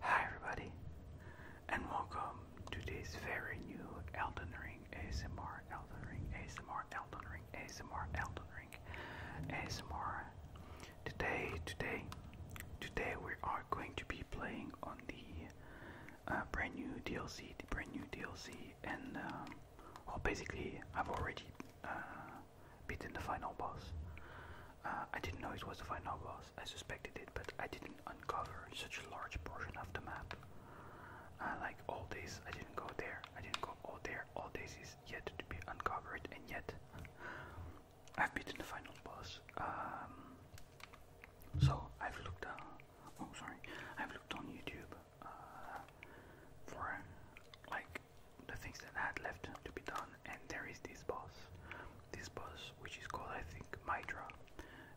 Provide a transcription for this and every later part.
Hi everybody, and welcome to this very new Elden Ring ASMR, Elden Ring ASMR, Elden Ring ASMR, Elden Ring ASMR. Today, today, today we are going to be playing on the uh, brand new DLC, the brand new DLC, and um, basically I've already uh, beaten the final boss. Uh, I didn't know it was the final boss, I suspected it, but I didn't uncover such a large portion of the map. Uh, like all this, I didn't go there. I didn't go all there. All this is yet to be uncovered, and yet I've beaten the final boss. Um, so I've looked. Uh, oh, sorry. I've looked on YouTube uh, for like the things that had left to be done, and there is this boss this boss, which is called, I think, Mydra,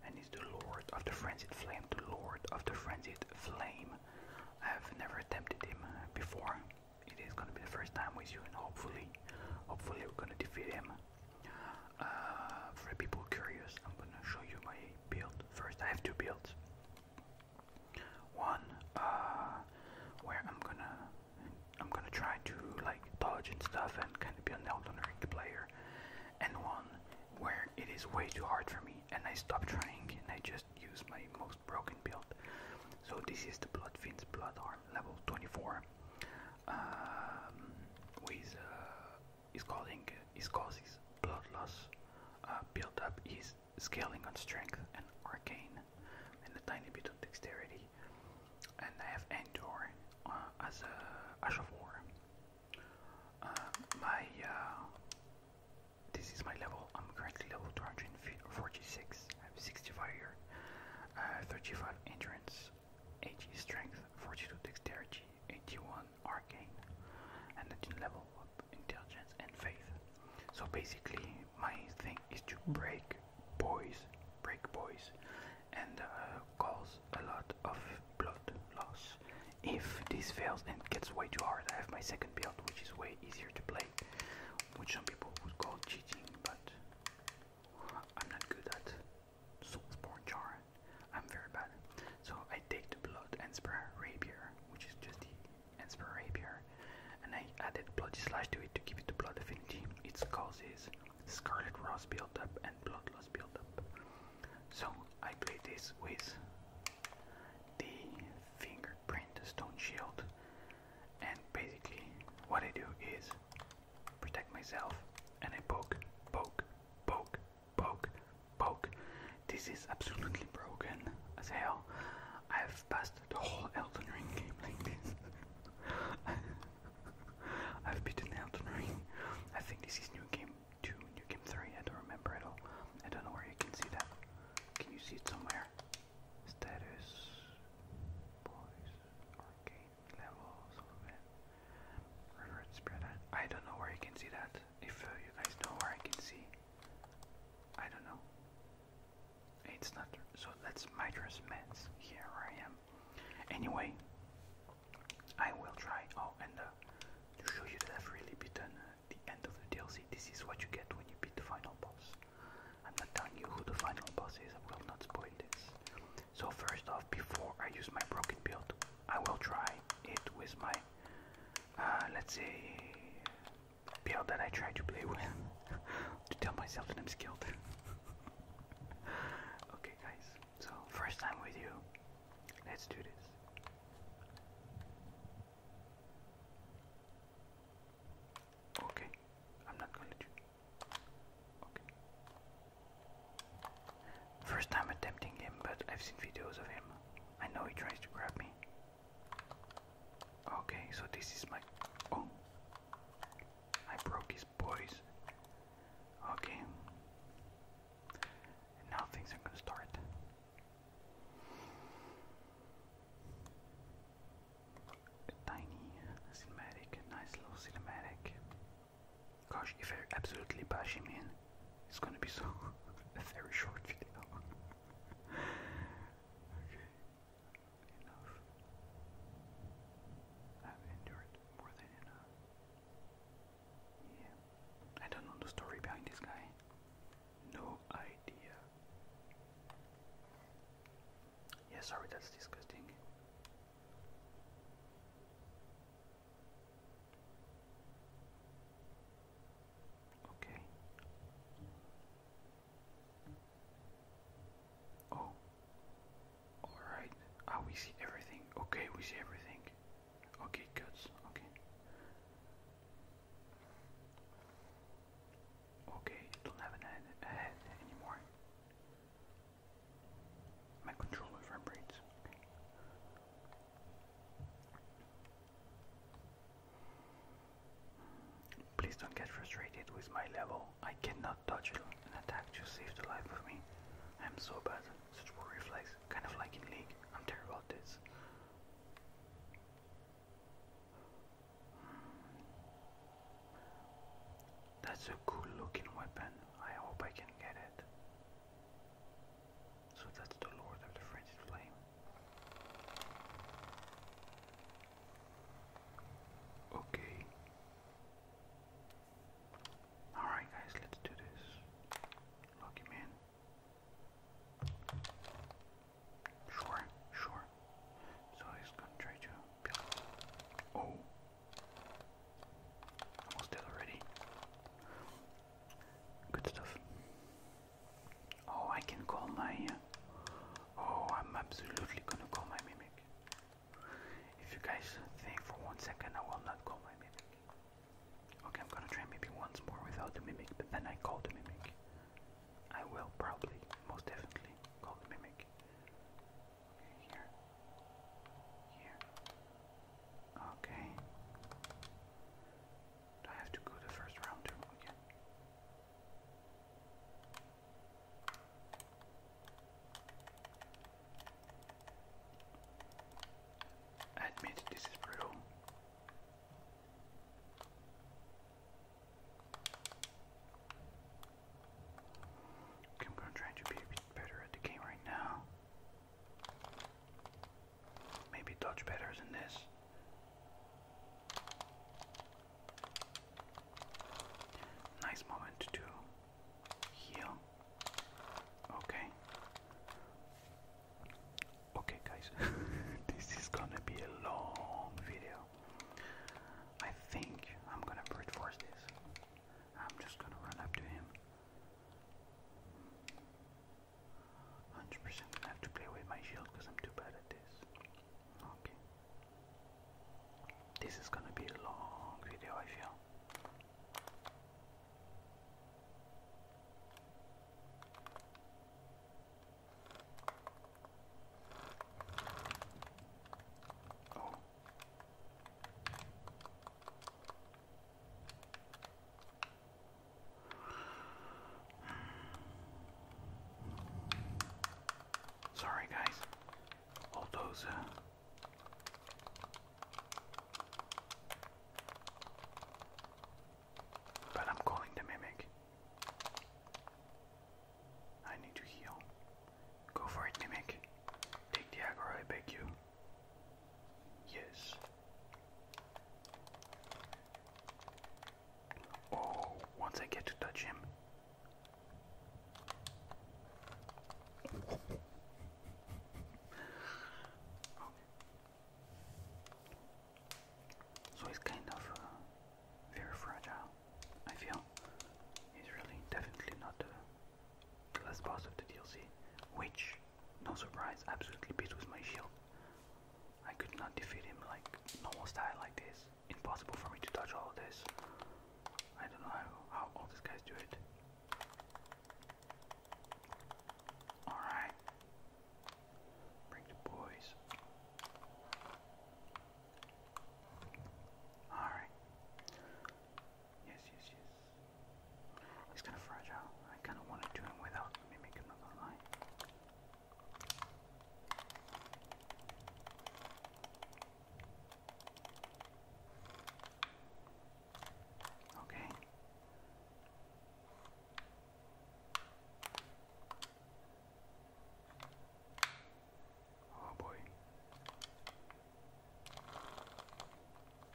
and is the Lord of the Frenzied Flame. The Lord of the Frenzied Flame. I have never attempted him before. It is gonna be the first time with you, and hopefully, hopefully, we're gonna defeat him. Uh, for people curious, I'm gonna show you my build first. I have two builds. One uh, where I'm gonna I'm gonna try to like dodge and stuff and kind of be a Elden Ring player, and one where it is way too hard for me, and I stop trying and I just use my most broken build. So this is the Bloodfiend's Bloodhorn level 24. Um, with uh, is calling is causes blood loss. Uh, up is scaling on strength and arcane, and a tiny bit of dexterity and I have Endor uh, as a Ash of War. my uh, this is my level. I'm currently level 246. I have 65 year, uh, 35 endurance, 80 strength, 42 dexterity, 81 arcane, and 19 level of intelligence and faith. So basically, my thing is to break boys, break boys, and uh, cause a lot of blood loss. If this fails and gets way too hard, I have my second build, which is way easier to play, which some people would call cheating, but I'm not good at Soulsborne Jar. I'm very bad. So I take the blood and sprayer rapier, which is just the and spray rapier, and I added blood slash to it to give it the blood affinity. It causes Scarlet Rose build up and Bloodlust build up. So I play this with the fingerprint stone shield and basically what I do is protect myself and I poke, poke, poke, poke, poke. This is absolutely broken as hell. I've passed the whole Elden Ring game like this. I've beaten Elden Ring. I think this is new game two, new game three. I don't remember at all. I don't know where you can see that. Can you see it somewhere? Status, boys, arcade levels, reverse I don't know where you can see that. If uh, you guys know where I can see, I don't know. It's not so. That's Midrash Mans. Here I am Anyway, I will try. Oh, and uh, to show you that I've really beaten uh, the end of the DLC, this is what you get when you beat the final boss. I'm not telling you who the final boss is, I will not spoil this. So first off, before I use my broken build, I will try it with my, uh, let's say, build that I try to play with, to tell myself that I'm skilled. okay, guys, so first time with you, let's do this. Okay, I'm not gonna do. Okay. First time attempting him, but I've seen videos of him. I know he tries to grab me. Okay, so this is my. Oh! I broke his boys. Okay. now things are gonna start. tiny cinematic, nice little cinematic. Gosh, if I absolutely bash him in, it's gonna be so a very short video. okay enough. I've endured more than enough. Yeah. I don't know the story behind this guy. No idea. Yeah, sorry, that's disgusting. Okay. Oh. Alright. Ah, we see everything. Okay, we see everything. Okay, good. Okay. Okay, it don't have a head anymore. My controller vibrates. Please don't get frustrated with my level. I cannot not touch you and attacked the life of me. I am so bad. Such poor reflex. Kind of like in League. I'm terrible at this. Hmm. That's a cool looking weapon. I hope I can get it. So that's the Lord of the Frenzy Flame. Okay. Alright, guys, let's do this. Lock him in. Sure, sure. So he's gonna try to Oh! Almost dead already. Good stuff. Oh, I can call my. Uh, oh, I'm absolutely gonna call my mimic. If you guys think for one second I will not call my mimic. Okay, I'm gonna try maybe once more without the mimic, but then I call the mimic. I will probably, most definitely, call the mimic. here. Here. Okay. Do I have to go the first round too? I admit this is brutal. Okay, try to be better at the game right now. Maybe dodge better than this. Nice moment to heal. Okay. Okay, guys, this is gonna be a long video. I think I'm gonna brute force this. I'm just gonna run up to him. 100% gonna have to play with my shield because I'm too bad at this. Okay. This is gonna be a long video, I feel. Oh. Sorry, guys bulldozer. But uh, I'm calling the mimic. I need to heal. Go for it, mimic. Take the aggro, I beg you. Yes. Oh, once I get to touch him, so he's kind of uh, very fragile, I feel. He's really definitely not uh, the, the boss of the DLC, which, no surprise, absolutely beat with my shield. I could not defeat him like normal style like this it's impossible for me to touch all of this. I don't know how, how all these guys do it. Alright. Bring the boys. Alright. Yes, yes, yes. It's kind of fragile. I kind of want to do it without mimic, I'm not going Okay. Oh boy.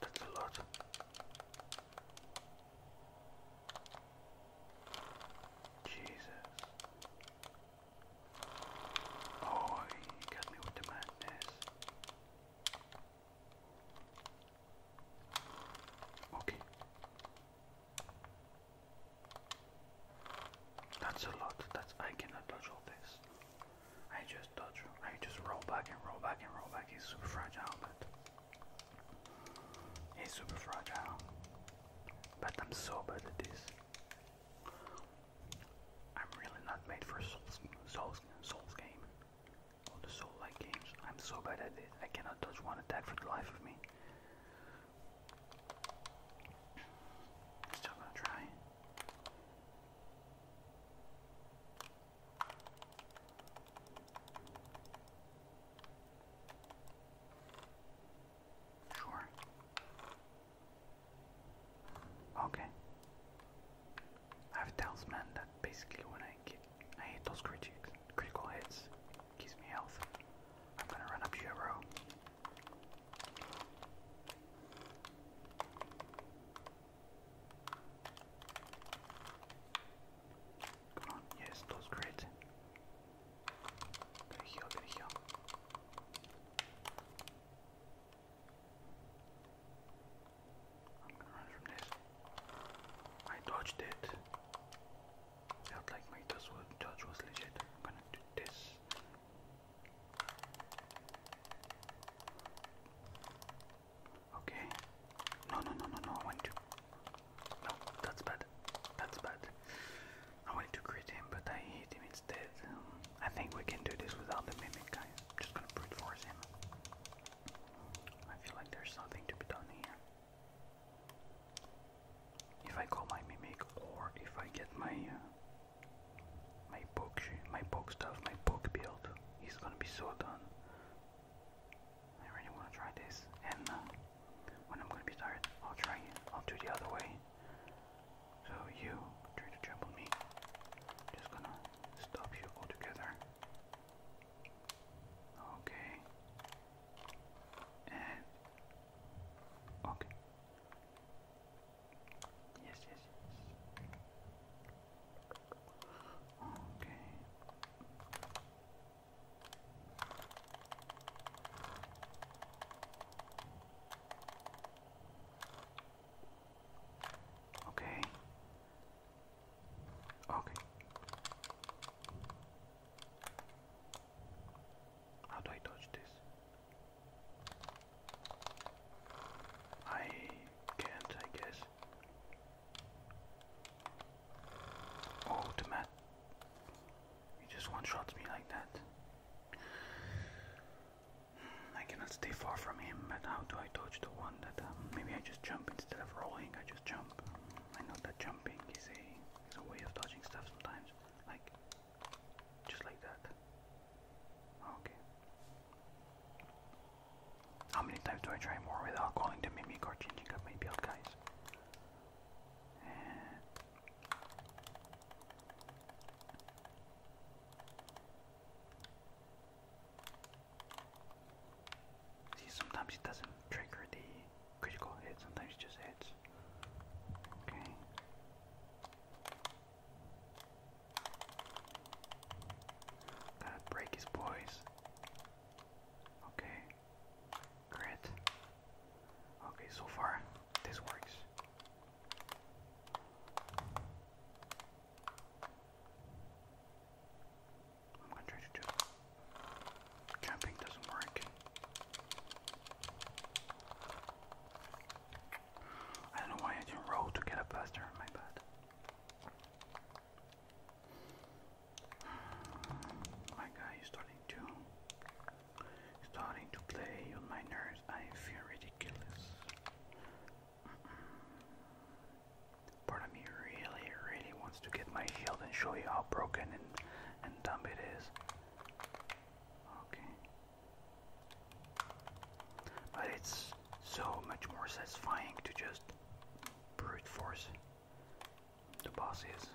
That's a lot. Jesus. Oh, you got me with the madness. Okay. That's a lot. That's I cannot touch all this. I just touch. I just roll back and roll back and roll back. He's super fragile, but he's super fragile. But I'm so bad at this. I'm really not made for Souls, Souls, Souls game. All the Soul-like games. I'm so bad at it. I cannot touch one attack for the life of me. Still gonna try. Sure. Okay. I have a talisman that basically when I get I hit those crit critical hits, gives me health. I'm gonna run up here, bro. Come on, yes, those crits. Gotta heal, gotta heal. I'm gonna run from this. I dodged it. Felt like my dodge was legit. gonna do this. Okay. No, no, no, no, no. I want to. No, that's bad. That's bad. I wanted to crit him, but I hit him instead. I think we can do this without the mimic, guys. I'm just gonna brute force him. I feel like there's something to be done here. If I call my mimic, or if I get my uh, my book, my book stuff, my book build, he's gonna be so done. I really wanna try this, and uh, when I'm gonna be tired, I'll try it. I'll do the other way. So you try to jump me. Just gonna stop you altogether. Okay. And okay. Yes, yes, yes. Okay. Okay. Okay. How do I touch this? I can't, I guess. Oh, the mat. just one shots me like that. I cannot stay far from him, but how do I dodge the one that um, maybe I just jump instead of rolling? I just jump. I know that jumping is a is a way of dodging stuff sometimes, like just like that. Okay. How many times do I try more without calling the mimic or changing up my build, guys? Eh. See, sometimes it doesn't trigger the critical hit, sometimes it just hits. Okay. got break his poise. Okay. Great. Okay, so far this works. I'm gonna try to do jumping doesn't work. I don't know why I didn't roll to get up faster my bed. My guy is starting to Starting to play on my nerves, I feel ridiculous. Mm really, really wants to get my shield and show you how broken and, and dumb it is. Okay. But it's so much more satisfying to just brute force the bosses.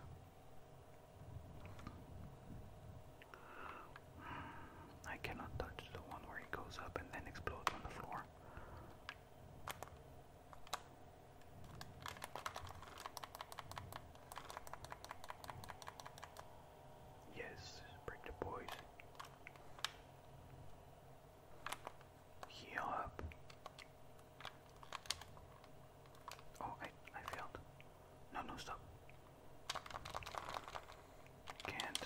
I cannot touch the one where it goes up and then explodes on the floor. Yes, break the boys. Heal up. Oh, I I failed. No, no, stop. Can't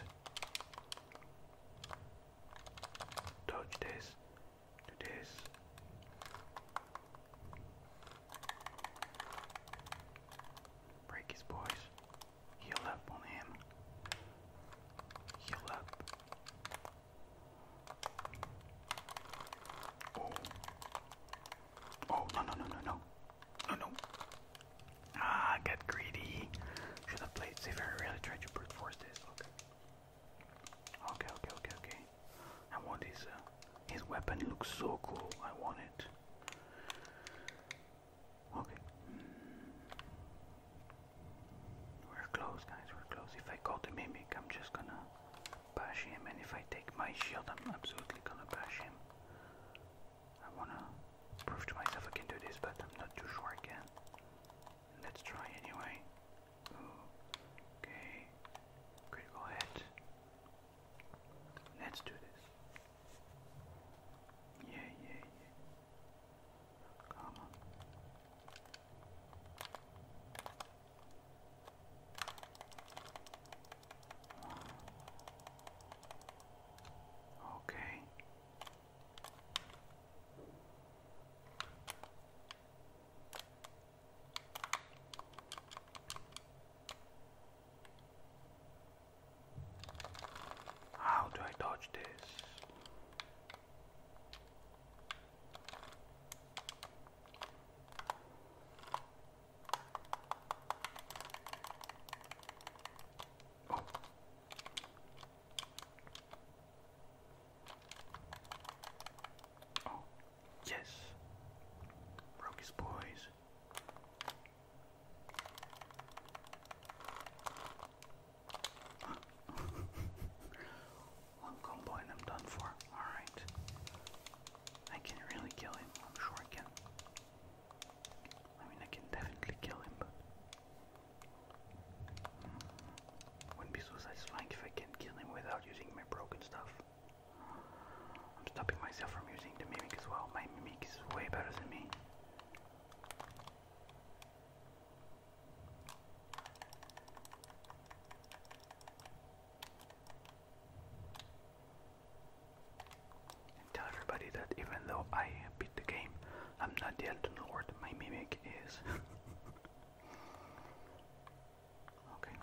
touch this. Do this. Break his voice. Heal up on him. Heal up. Oh, Oh, no, no, no, no, no. No, no. Ah, I got greedy. Should have played safer. I really tried to brute force this. Okay. Okay, okay, okay, okay. I want his, uh, his weapon. It looks so cool. I want it. Okay. Hmm. We're close, guys. We're close. If I call the mimic, I'm just gonna bash him. And if I take my shield, I'm absolutely gonna bash him. I wanna prove to myself I can do this, but I'm not too sure I can. Let's try anyway. Ooh. Okay. Critical hit. Let's do this. Yeah, yeah, yeah. Come on. Okay. How do I dodge this? Oh. oh. yes, broke his boys. Huh. One combo and I'm done for. Alright. I can really kill him, I'm sure I can. I mean, I can definitely kill him, wouldn't be so satisfying if I can kill him without using my broken stuff. I'm stopping myself from using the mimic as well. My mimic is way better than me tell everybody that even though I beat the game, I'm not the Elton Lord, my mimic is. okay.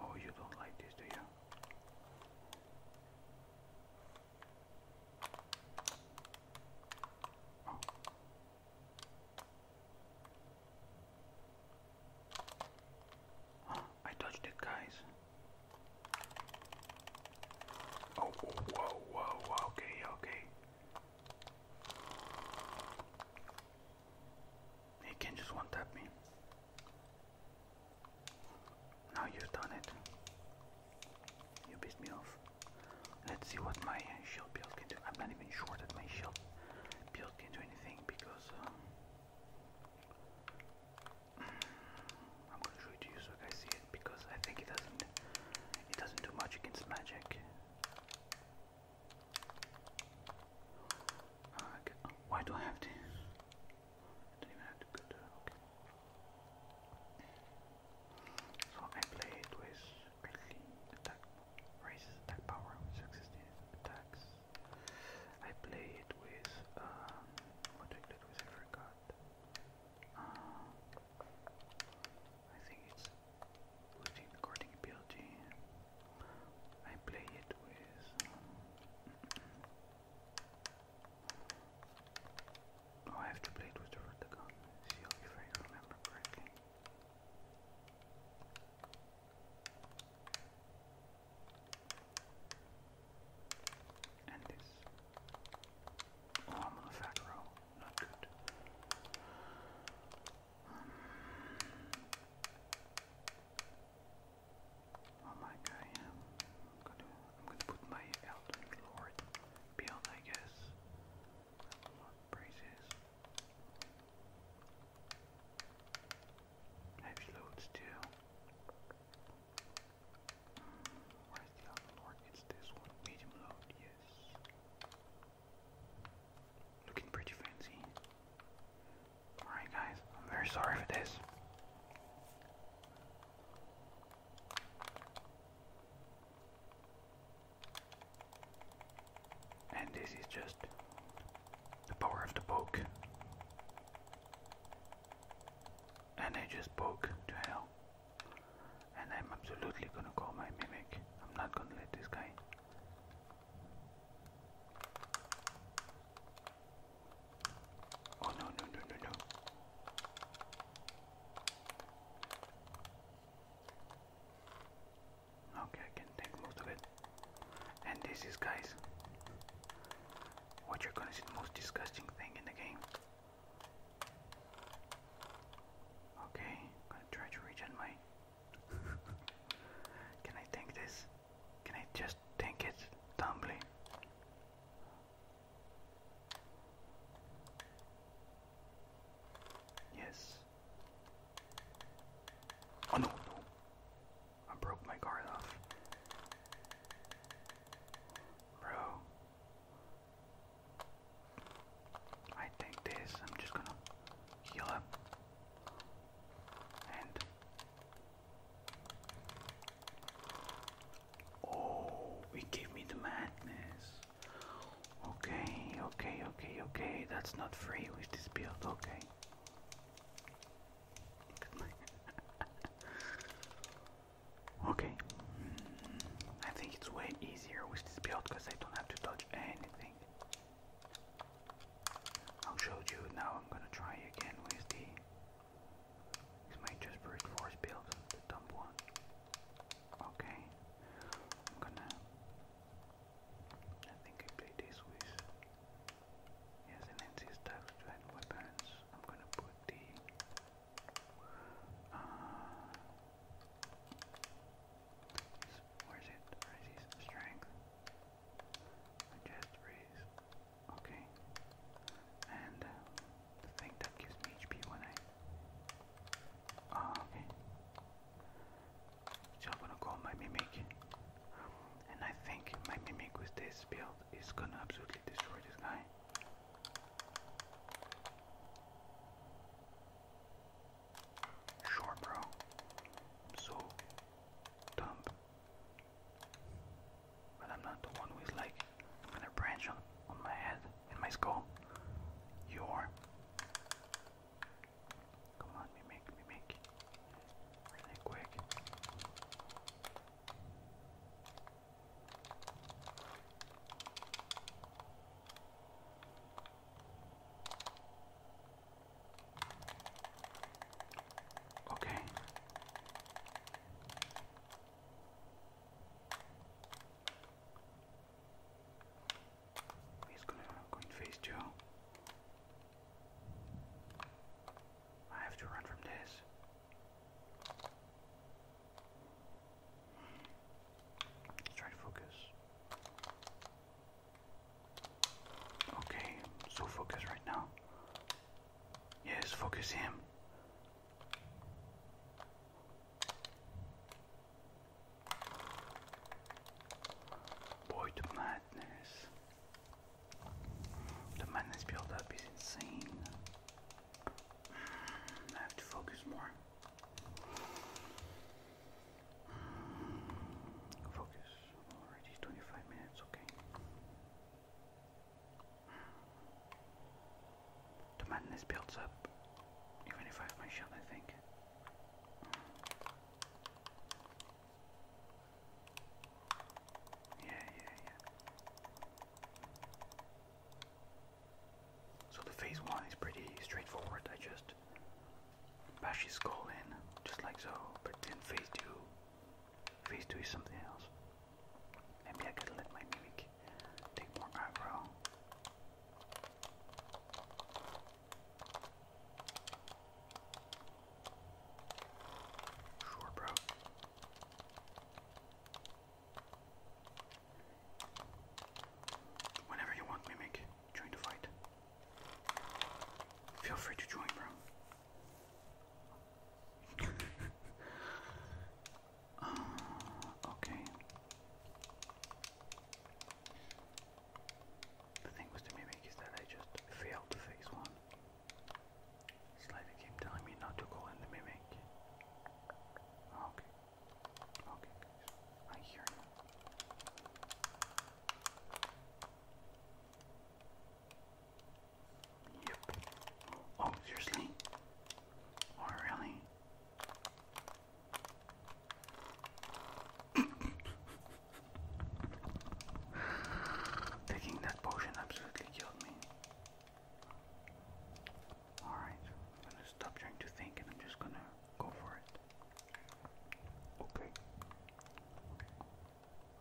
Oh, you don't like this, do you? I touched it, guys. Oh, whoa, whoa, okay, okay. He can just one tap me. Now you've done it. You pissed me off. Let's see what my shield build can do. I'm not even sure that my shield build can do anything because uh, I'm gonna show it to you so you guys see it because I think it doesn't it doesn't do much against magic. why do I have to? don't even have to go there. So I played with quickly attack, raises attack power with existing attacks. I played with, um, what I played with, I forgot. Uh, I think it's looting recording ability. I play it with. Um, Oh, I have to play with the Rutagon. See if I remember correctly. And this. Oh, I'm a fat Not good. Um, oh my I'm I'm gonna put my Elden Lord build, I guess. Braces. Heavy loads too. Where's the other It's this one. Medium load, yes. Looking pretty fancy. Alright guys, I'm very sorry for this. And this is just the power of the poke. And I just poke to hell. And I'm absolutely gonna call my mimic. I'm not gonna let this guy. Oh no no no no no. Okay, I can take most of it. And this is, guys, what you're gonna see the most disgusting thing in the game. Okay, I'm gonna try to reach on my. Can I tank this? Can I just tank it dumbly? Yes. Oh no, no. I broke my card off. Bro. I take this, I'm just gonna heal up. And Oh, it gave me the madness. Okay, okay, okay, okay. That's not free with this build. Okay. okay. Hmm. I think it's way easier with this build because I don't have to touch anything. I'll you now. I'm gonna try again with the. This might just brute force build the dumb one. Okay, I'm gonna. I think I play this with. Yes, an NC staff joint weapons. I'm gonna put the. Uh, where is it? Resist strength. Just raise. Okay. And. Uh, the thing that gives me HP when I. Ah, okay. So I'm gonna call my mimic, and I think my mimic with this build is gonna absolutely destroy this guy. Sure, bro. so dumb. But I'm not the one who is like I'm gonna branch on, on my head, in my skull. You are. Come on, me make, me make. Really quick. Okay. He's gonna go in phase two. I have to run from this. Let's try to focus. Okay, so focus right now. Yes, focus him. Boy, the madness. The madness build up is insane. Hmm, I have to focus more. Hmm, focus. Already 25 minutes, okay. The madness builds up, even if I have my shield, I think. Yeah, yeah, yeah. So the phase one is pretty straightforward. I just bash his skull in, just like so. But then phase two, phase two is something else. Maybe I could let my mimic take more aggro. Sure, bro. Whenever you want, Mimic, join the fight. Feel free to join, bro. Oh, okay. The thing with the mimic is that I just failed to face one. It's like telling me not to go in the mimic. Ah, okay. Okay, I hear you. Yep. Oh, seriously? Oh, really? Taking that potion absolutely killed me. Alright, I'm gonna stop trying to think and I'm just gonna go for it. Okay.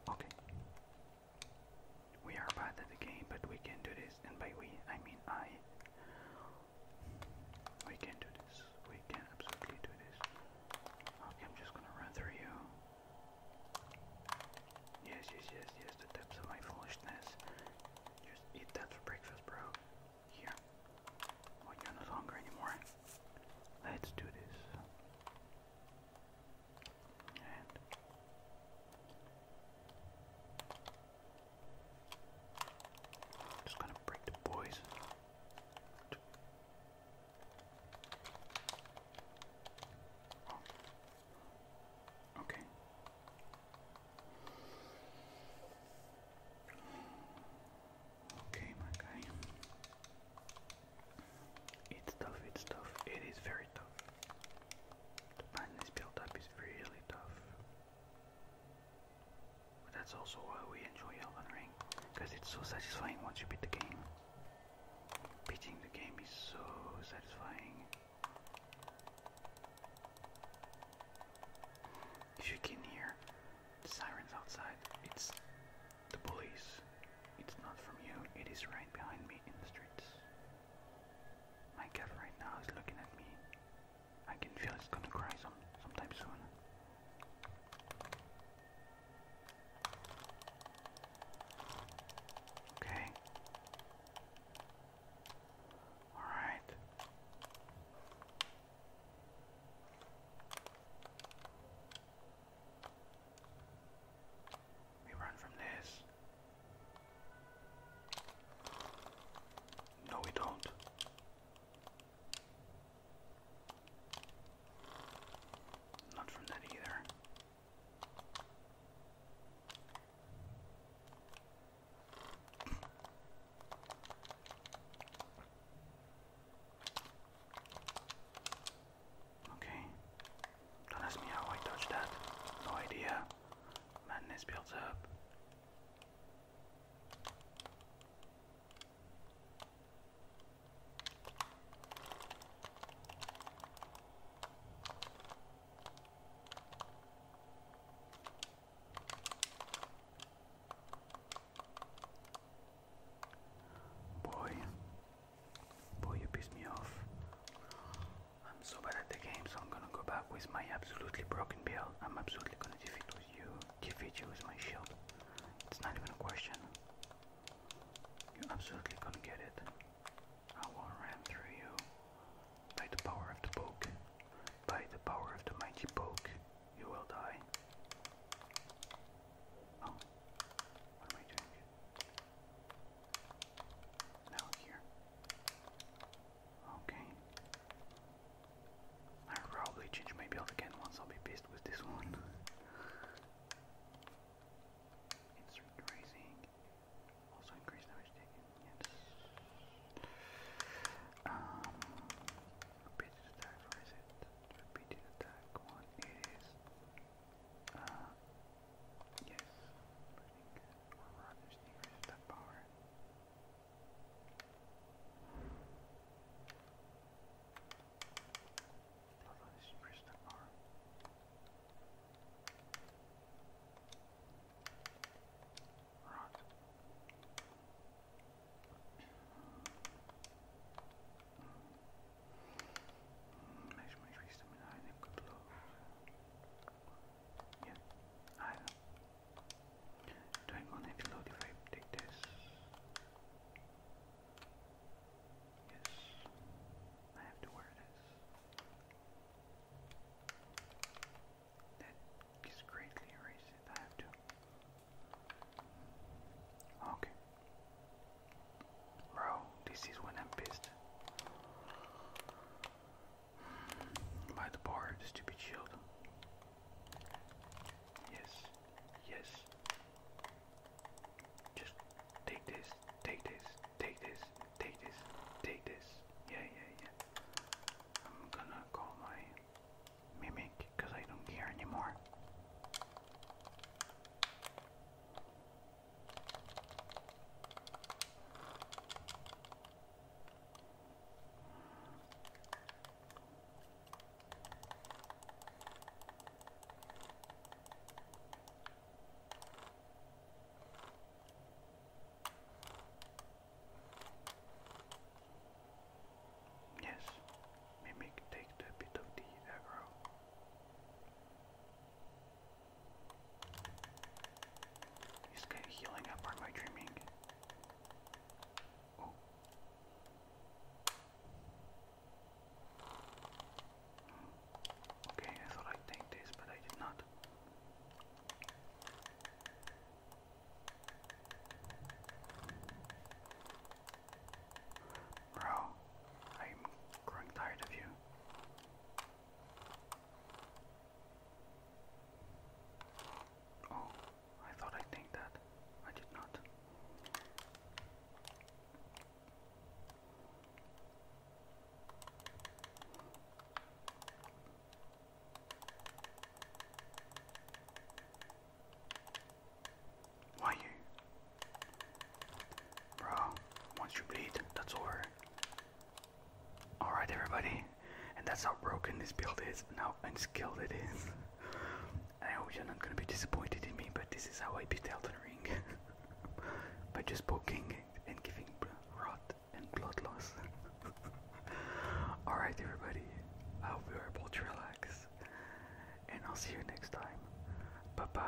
Okay. We are bad at the game, but we can do this, and by we, I mean I. We can do this. We can absolutely do this. Okay, I'm just gonna run through you. Yes, yes, yes, yes, the depths of my foolishness. Just eat that for breakfast, bro. Here. Well, oh, you're not hungry anymore. Let's do this. Just gonna break the boys. Oh. Okay. Okay, my guy. It's tough, it's tough. It is very tough. The this build up is really tough. But that's also why we enjoy Elden Ring, because it's so satisfying once you beat the game. Beating the game is so satisfying. If you can hear sirens outside, it's the police. It's not from you, it is right behind me in the streets. My cat right now is looking at me. I can feel it's gonna cry some sometime soon. Okay. All right. We run from this. No, we don't. Not from that either. Okay. Don't ask me how I touched that. No idea. Madness builds up. Boy, boy, you pissed me off. I'm so bad at the game, so I'm gonna go back with my absolutely broken build. I'm absolutely gonna defeat you, defeat you with my shield. It's not even a question. You're absolutely gonna get it. I will ram through you by the power of the poke. By the power of the mighty poke, you will die. Oh, what am I doing? Now here. Okay. I'll probably change my again once I'll be pissed with this one. Insert raising. Also increase damage yes. Um repeated attack, or it? Repeated attack one it is uh yes. Burning or rather sneakers that power. Lovely crystal bar. Right. Make sure my tree stamina I think Yeah, I know. Don't want heavy load if I take this. Yes, I have to wear this. That is greatly erased. I have to. Okay. Bro, this is when I'm pissed. By the bar, the stupid shield. Yes, yes. Just take this, take this, take this, take this, take this. Yeah, yeah, yeah. I'm gonna call my mimic because I don't care anymore. Yes, Mimic take a bit of the aggro. He's kind of healing up or am I dreaming? Oh. Okay, I thought I'd take this, but I did not. Bro, I'm growing tired of you. Oh, I thought I think that. I did not. Why you? Bro, once you bleed, that's over. Alright, everybody, and that's how broken this build is, and how unskilled it is. I hope you're not gonna be disappointed in me, but this is how I beat Elden Ring by just poking and giving rot and blood loss. Alright, everybody, I hope you're able to relax, and I'll see you next time. Bye bye.